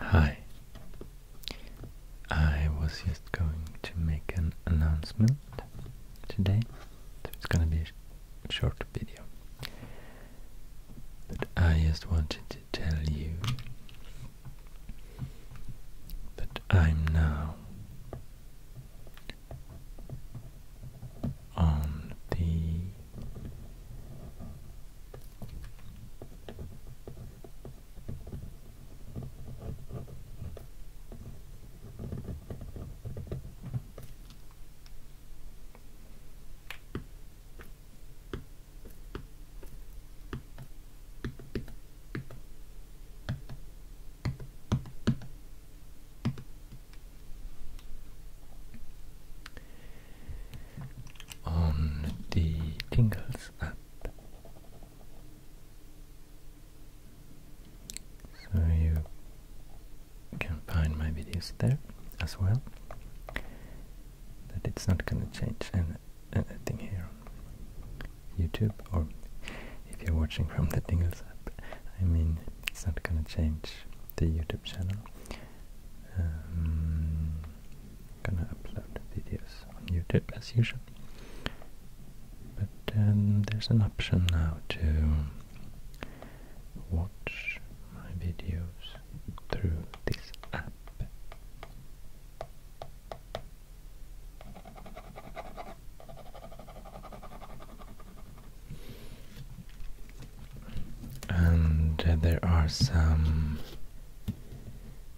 Hi. I was just going to make an announcement today. So it's gonna be a short video. But I just wanted to tell you that I'm now on um, the on the Tingles app. So you can find my videos there as well. But it's not going to change anything here YouTube, or if you're watching from the Dingles app, I mean, it's not gonna change the YouTube channel. Um, gonna upload videos on YouTube as usual. But there's an option now to watch my videos through this app. And there are some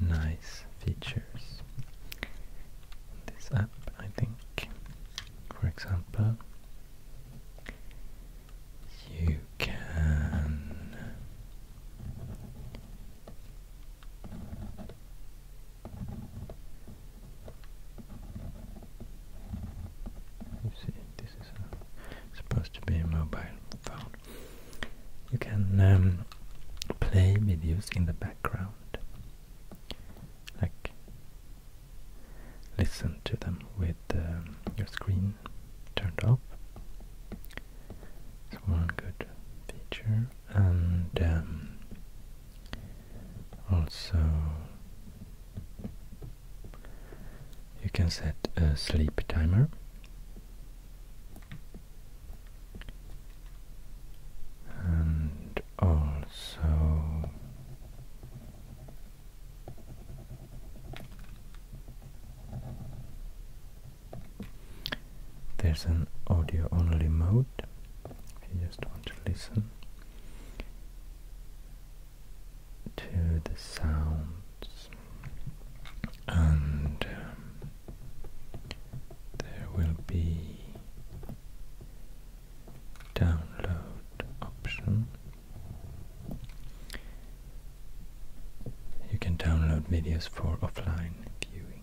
nice features in this app, I think. For example, you can you see, this is uh, supposed to be a mobile phone. You can um, play videos in the background, like listen to them with um, your screen turned off. It's one good feature, and um, also you can set a sleep timer. And also there's an audio only mode if you just want to listen to the sounds and um, there will be download option you can download videos for offline viewing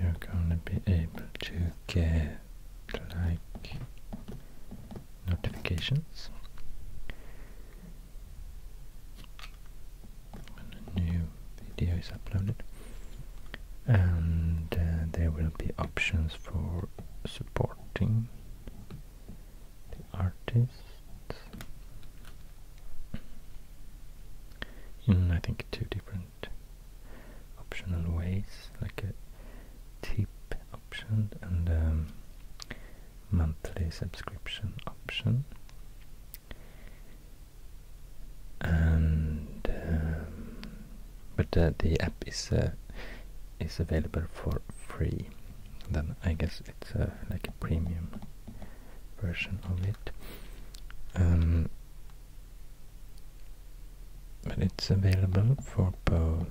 you're gonna be able to get like notifications when a new video is uploaded and uh, there will be options for supporting the artists in hmm, I think two different optional ways, like a tip option and um, monthly subscription option and um, but the app is uh, is available for free then I guess it's like a premium version of it. Um, but it's available for both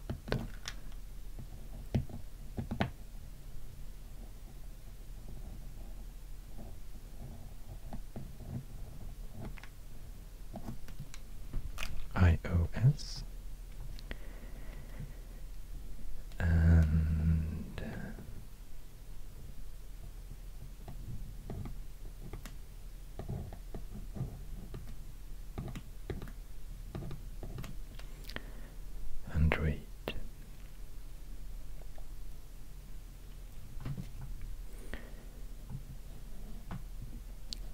iOS and hundred. Uh,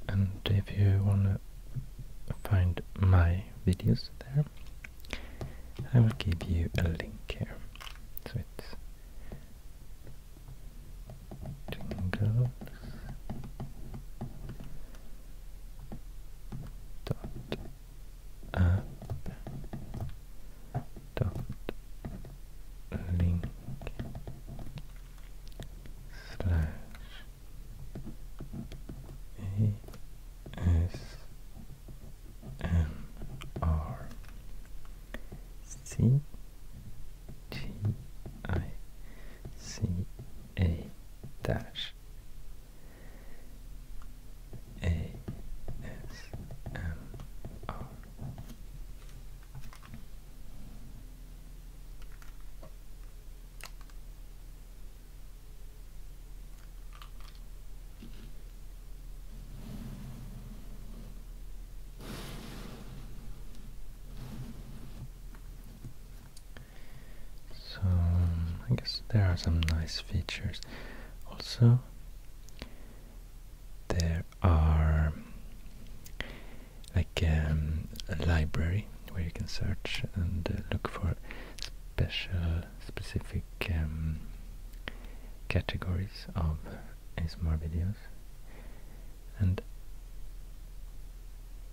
and if you want to find my videos there, I will give you a link here. So it's jingles dot app dot link slash ASMR dash A S M R so I guess there are some nice features. Also, there are like um, a library where you can search and uh, look for special, specific um, categories of ASMR videos. And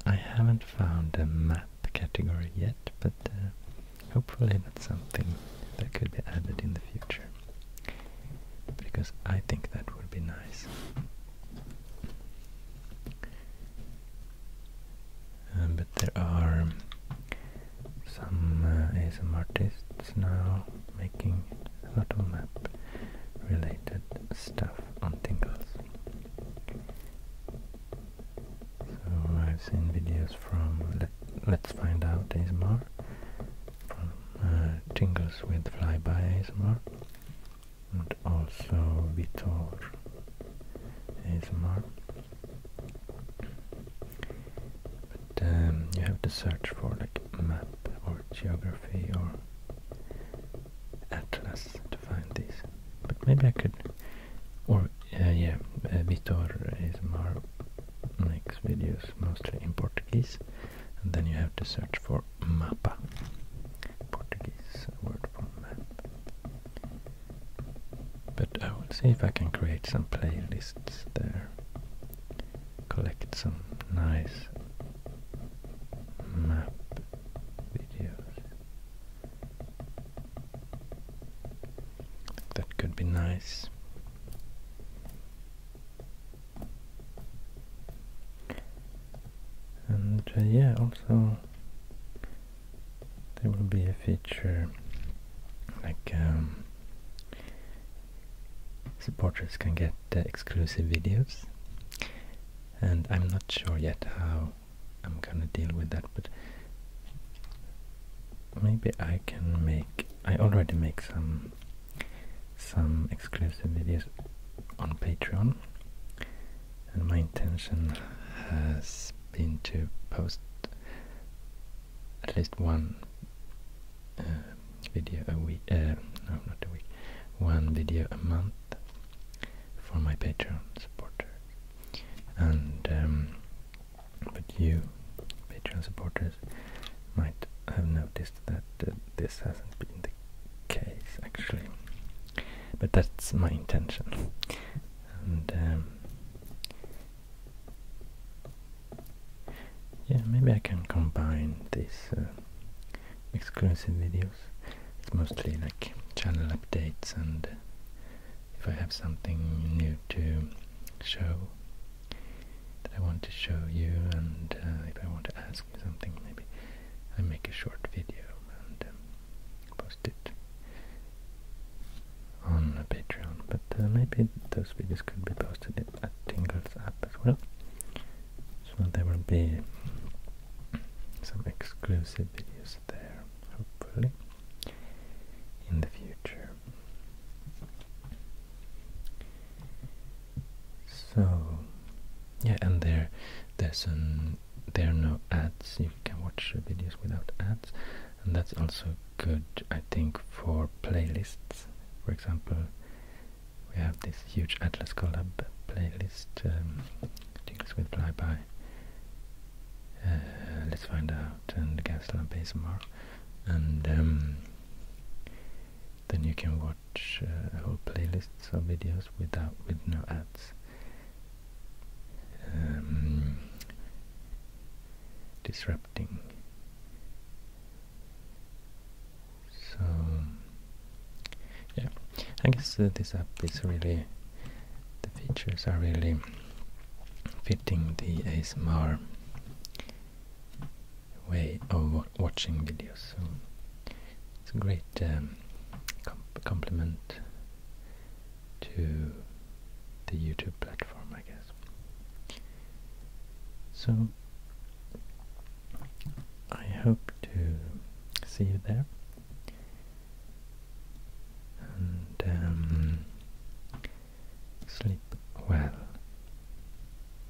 I haven't found a map category yet, but uh, hopefully that's something that could be added in the future. Because I think that would be nice. Um, but there are some uh, ASMR artists now making a lot of map related stuff on Tingles. So I've seen videos from Let, us Find Out ASMR, from uh, Tingles with Flyby ASMR, and also Vitor ASMR. But then um, you have to search for like map or geography or atlas to find these. But maybe I could, or uh, yeah, uh, Vitor ASMR makes videos mostly in Portuguese, and then you have to search for mapa, Portuguese word for map. But I will see if I can create some playlists there. Collect some nice map videos. That could be nice and uh, yeah also there will be a feature like um, supporters can get uh, exclusive videos and I'm not sure yet how I'm gonna deal with that but maybe I can make I already make some some exclusive videos on Patreon and my intention has been to post at least one uh, video a week, uh, no not a week, one video a month for my Patreon supporters and um, but you Patreon supporters might have noticed that uh, this hasn't been the case actually but that's my intention. And um, yeah, maybe I can combine these uh, exclusive videos. It's mostly like channel updates and uh, if I have something new to show that I want to show you and uh, if I want to ask something, maybe I make a short video and um, post it on Patreon. But uh, maybe those videos could be posted at Tingle's app as well. So there will be some exclusive videos there, hopefully, in the future. So yeah, and there there's an there are no ads. You can watch videos without ads, and that's also good. I think for playlists, for example, we have this huge Atlas Collab playlist, Things um, with Flyby. Uh, let's find out and the Gastel and Basemar, um, and then you can watch watch whole uh, playlists of videos without with no ads. Um, disrupting. So yeah, I guess uh, this app is really the features are really fitting the ASMR way of watching videos. So it's a great um, compliment to the YouTube platform, I guess. So I hope to see you there. And um, sleep well.